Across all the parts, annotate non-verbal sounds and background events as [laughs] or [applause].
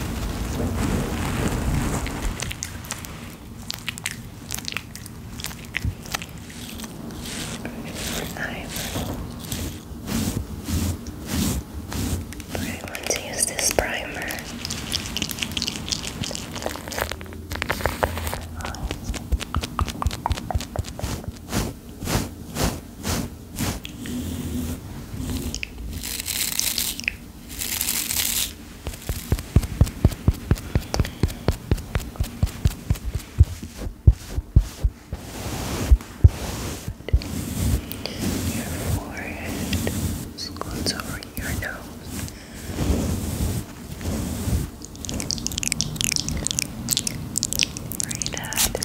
I want to use this primer. Your forehead squats over your nose. Right at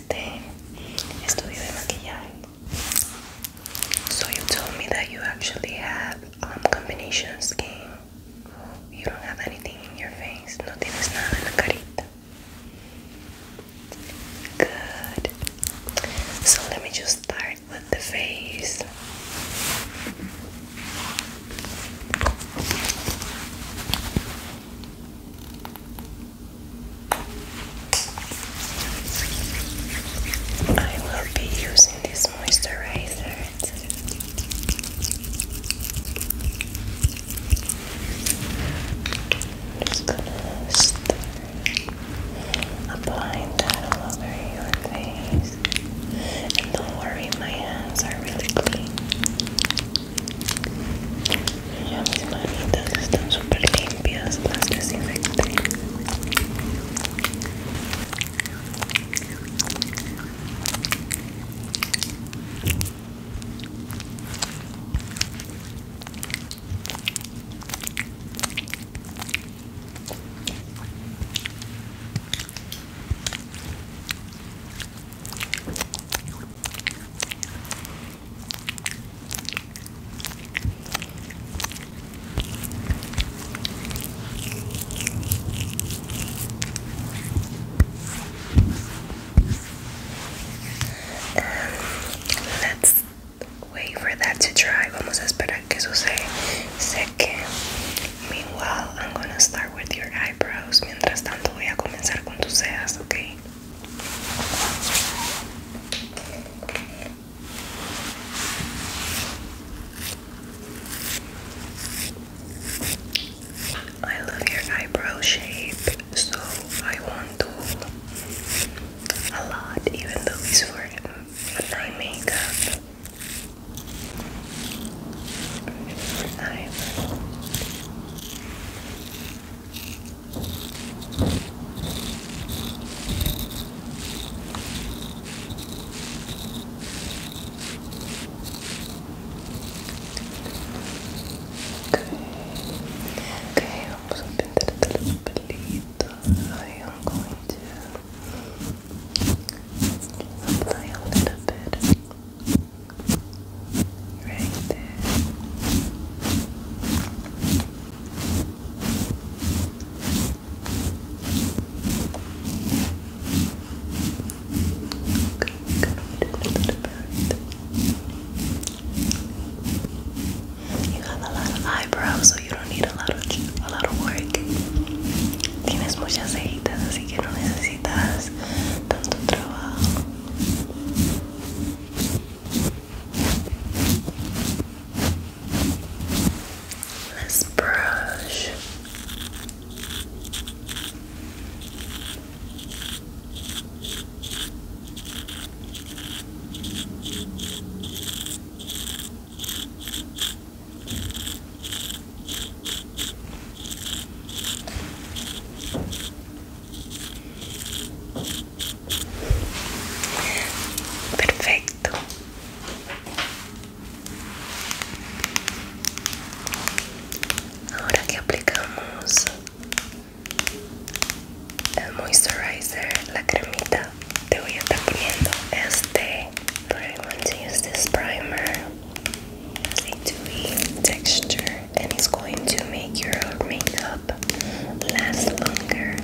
So you told me that you actually have um, combination skin. You don't have anything in your face. Good. So let me just start with the face. I will be using this moisturizer. am just gonna start applying that all over your face. And don't worry, my hands are really clean. Ya mis manitas están super limpias, las desinfecté. And let's wait for that to dry. Vamos a esperar que se seque. Meanwhile, I'm gonna start with your eyebrows. Mientras tanto, voy a comenzar con tus cejas, okay? I love your eyebrow shape, so I want to a lot, even though it's for my makeup. Okay, vamos aprender a ter os I am going to apply a little bit Right there. Good, good. You have a lot of eyebrows, so you don't need a lot of a lot of work. Tienes muchas cejitas, así que no necesitas tanto trabajo. Let's brush. Perfecto. Ahora que aplicamos el moisturizer, la cremita, te voy a estar poniendo este. primer. Este I to use this primer. a texture. and it's going to make your makeup last longer.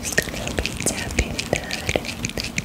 It's gonna be tapping that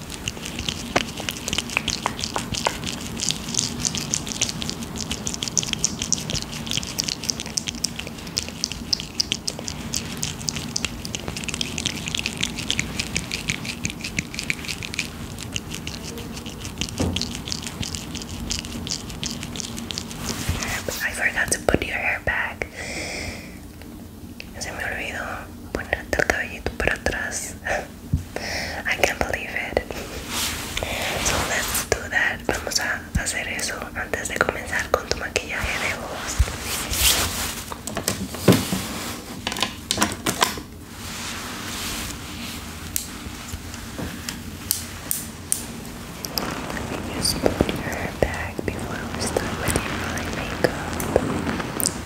I forgot to put your hair back. Se me olvidó ponerte el cabellito para atrás. [laughs] I can't believe it. So let's do that. Vamos a hacer eso antes de comenzar con tu maquillaje de voz. Let me use put hair back before we start with the eye makeup.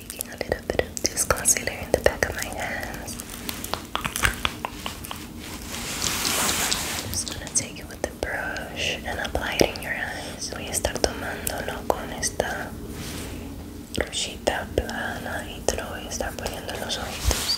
taking a little bit of this concealer in the back of my hands. I'm just gonna take it with the brush and apply it in your eyes. Voy a estar tomándolo con esta brochita plana y te lo voy a estar poniendo en los ojitos.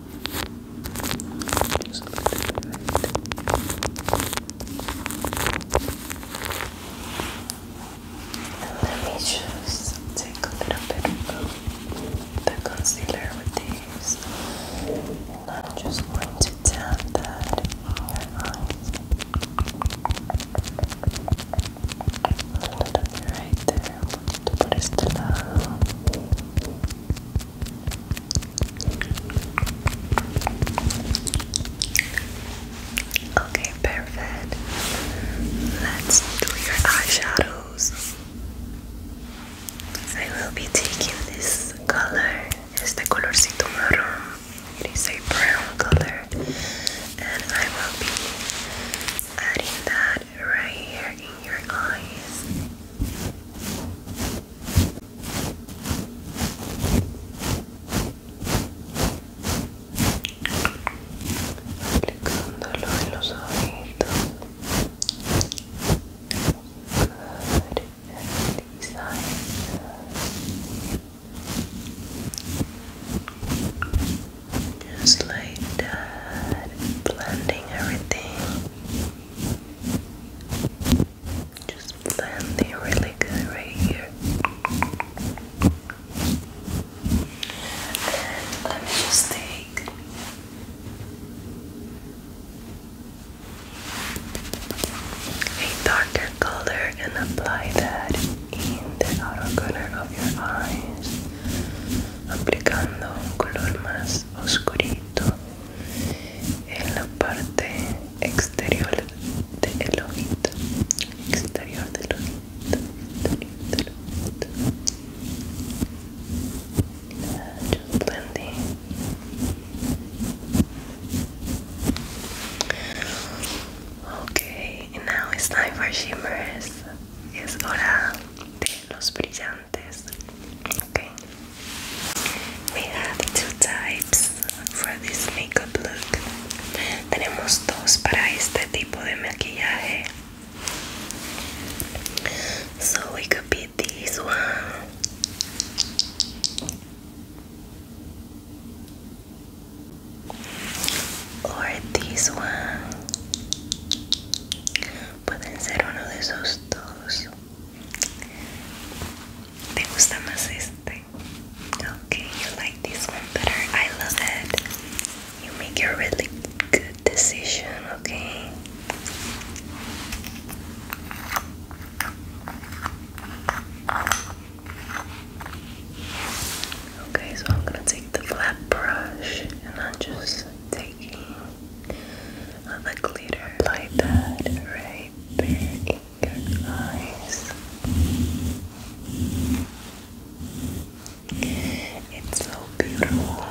let me just take a little bit of the concealer with these. And I'm just going to tap that in your eyes. A little bit right there okay perfect let's do your eyeshadows I will be taking this color este colorcito marrón it is a brown color and I will be adding that right here in your eyes. Aplicándolo en los ojitos. Good. And these eyes. Just like that, blending everything. Just blending really good right here. And let me just take a darker color and apply that in the outer corner of your eyes. aplicando un color más oscurito en la parte exterior del ojito exterior del ojito exterior del okay now it's time for shimmers es hora de los brillantes We have two types for this makeup look. Tenemos dos para este tipo de maquillaje. So we could be this one. Or this one pueden ser uno de esos dos. ¿Te gusta you like this one better. I love it. You make a really good decision, okay? Okay, so I'm gonna take the flat brush and I'm just taking on the glitter. Apply that right there eyes. It's so beautiful.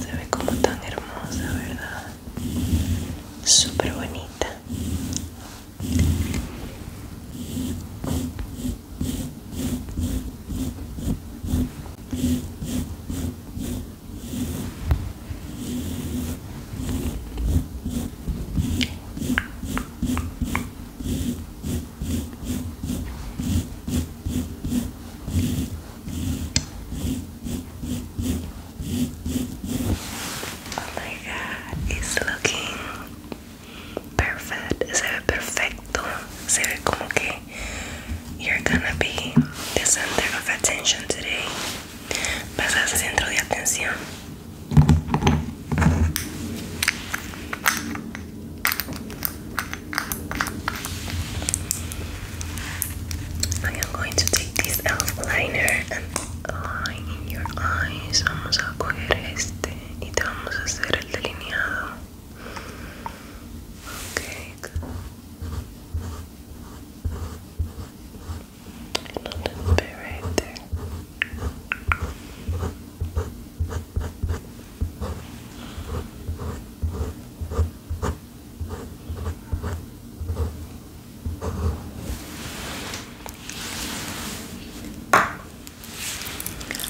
Se ve como tan hermosa, ¿verdad? Súper bonita. Oh my god, it's looking perfect, se ve perfecto, se ve como que you're gonna be the center of attention today. Vas a centro de atención. I am going to take this elf liner and line in your eyes. Vamos a coger este y te vamos a hacer el delineado. Okay, good. A there.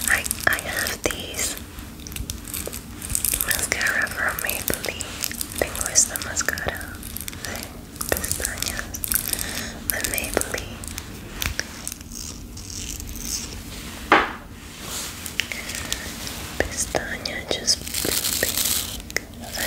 I I have these Mascara from Maybelline. Tengo esta máscara de pestañas de Maybelline. Pestaña just pink. I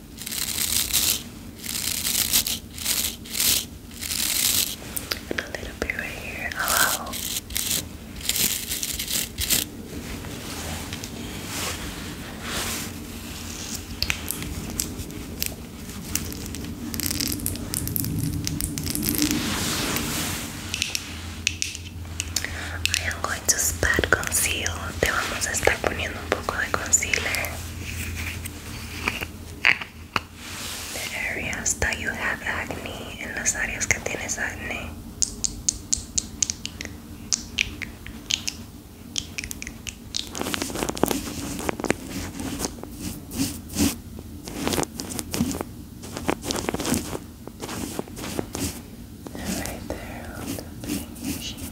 Un a little right here. Hello. I am going to spot conceal. Te vamos a estar poniendo un poco de concealer. the areas that you have acne, en the áreas that tienes acne. not right there on the pain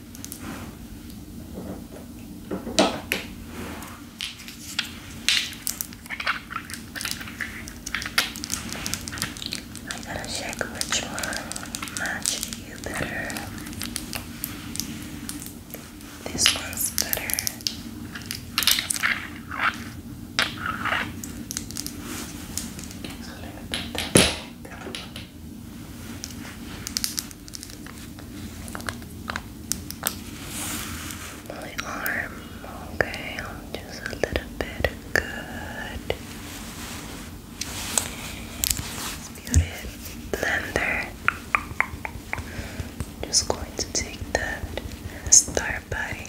I'm to check which one matches you better. This one's better. So let me my arm, okay, I'm just a little bit good. Disputed blender. Just going to take that and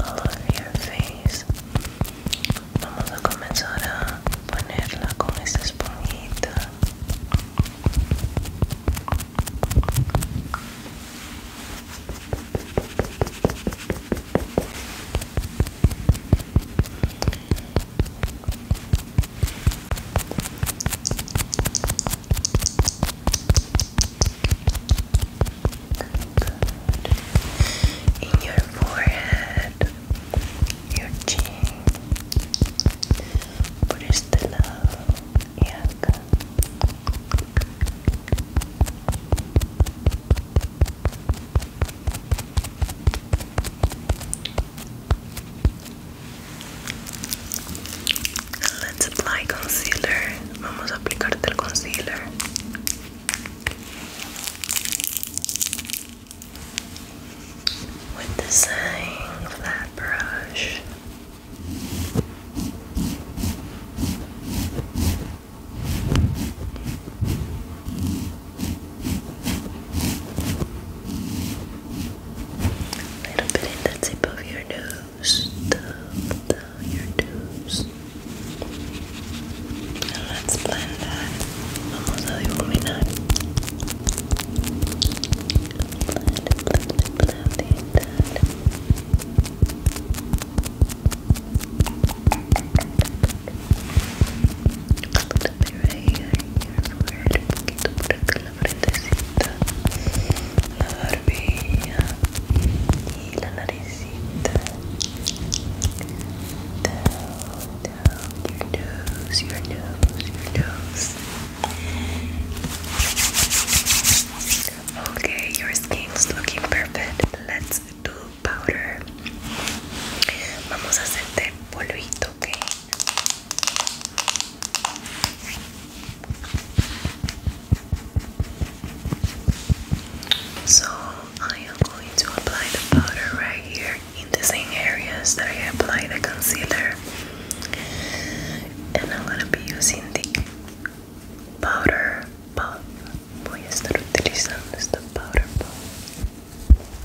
all over your face. Vamos a comenzar a ponerla con esta esponjita. In your forehead, your chin, por este lado y let Let's apply concealer. Vamos a aplicarte el concealer with the same flat brush. A little bit in the tip of your nose your tubes. let's blend that. Vamos a difuminar. Blend, blend, blend that. A little bit right here, here for it. Un poquito por aquí la frentecita. La barbilla your nose, your nose, your nose okay, your skin's looking perfect let's do powder vamos a hacerte polvito, ok so I am going to apply the powder right here in the same areas that I applied the concealer. And I'm gonna be using the powder pop. Voy a estar utilizando esta powder pop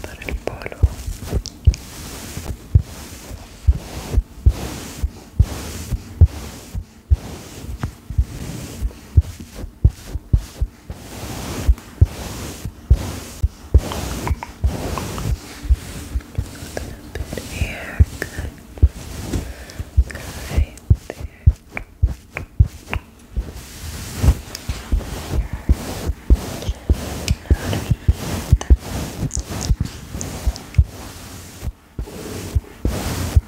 para el polo bit here. Good. Good. Right there.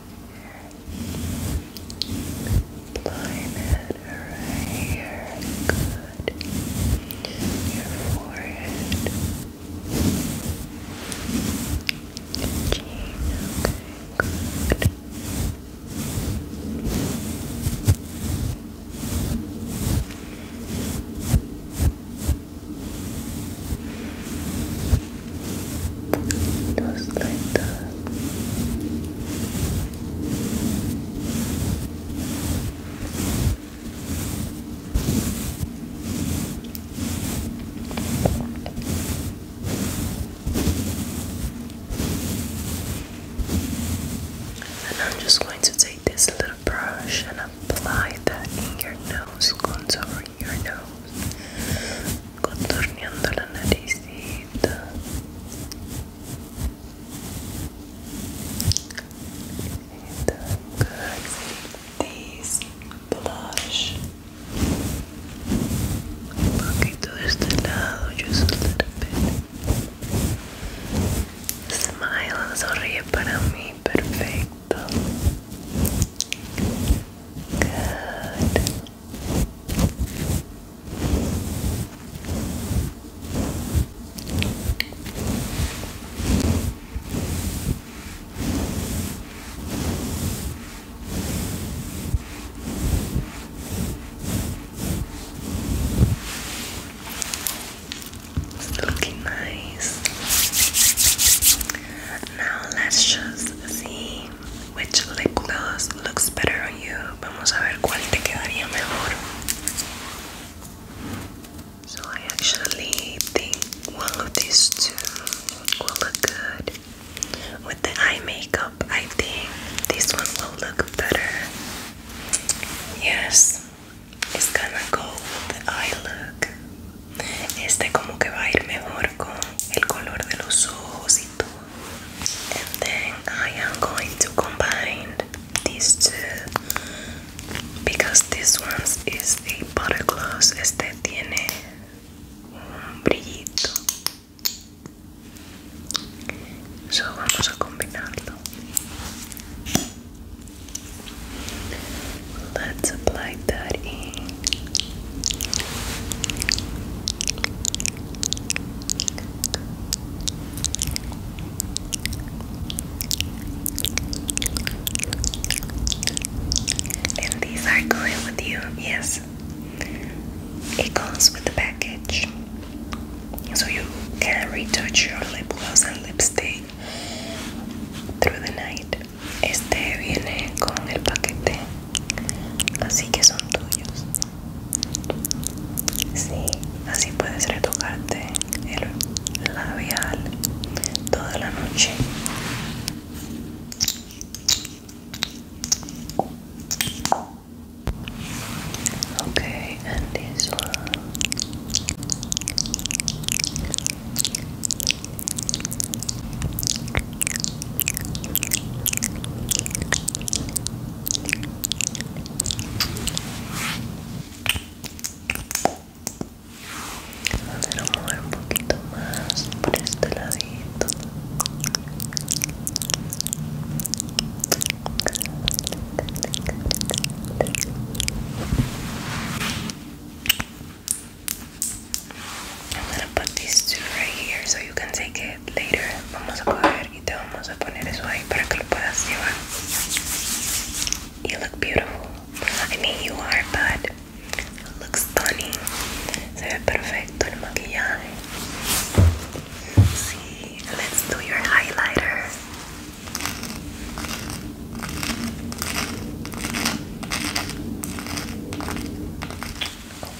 Line it right here. Good. Your forehead. Good. Just like that. And I'm just going to take this little brush and apply that in your nose contour over your nose, contorneando la naricita. And I'm blush. poquito de este lado, just a little Smile, sonríe para mí, perfecto. Good looking nice. Now let's just see which lip gloss looks better on you? Vamos a ver cuál te quedaría mejor. So I actually think one of these two will look good. With the eye makeup, I think this one will look better. Yes, it's gonna go with the eye look. Este como que va a ir mejor con el color de los ojos y todo. then I am going to combine these two because this one is a butter gloss. Este tiene un brillito. So vamos a combinarlo. Let's apply type And these are going with you, yes. It comes with the package. So you can retouch your lip gloss and lipstick through the night. este viene con el paquete así que son tuyos sí, así puedes retocarte el labial toda la noche Okay, and this a mover un poquito más por este ladito. I'm gonna put these two right here so you can take it later. Vamos a coger y te vamos a poner eso ahí para que lo puedas llevar. You look beautiful. I mean, you are, but it looks stunning. Se ve perfecto el maquillaje. See, let's do your highlighter.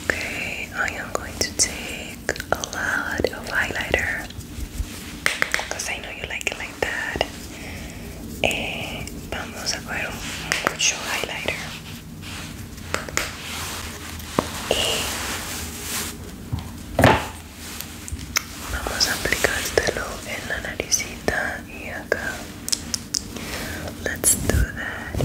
Okay, I am going to take a lot of highlighter because I know you like it like that. Eh, vamos a coger mucho highlighter. Y vamos a aplicártelo en la naricita y acá. Let's do that.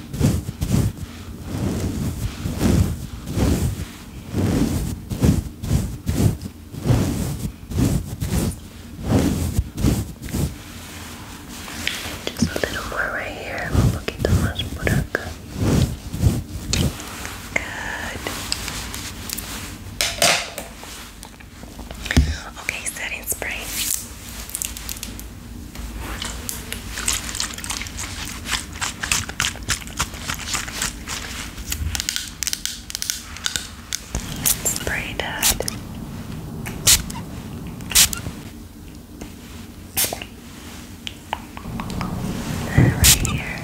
Just a little more right here, un poquito más por acá. Good. Okay, setting spray. It's pretty Right here.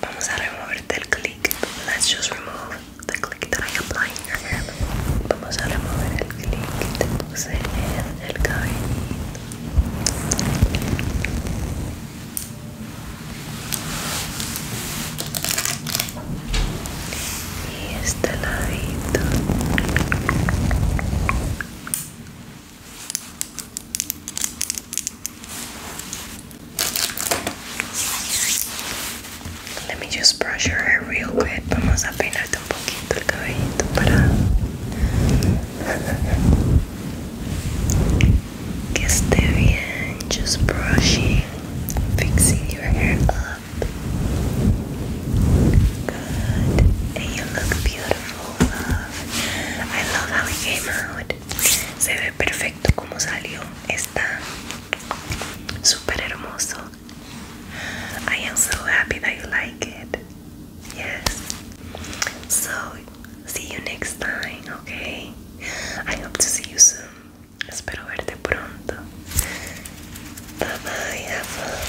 Vamos a removerte el click. Let's just remove the click that I applied in your hair. Vamos a remover el click que te puse en el cabellito. Y este let me just brush your hair real quick. Vamos a peinarte un poquito el cabellito para [laughs] que esté bien. Just brushing, fixing your hair up. Good. And you look beautiful, love. I love how it came out. se ve perfecto como salió está super hermoso I am so happy that you like it yes so see you next time okay I hope to see you soon espero verte pronto bye bye have fun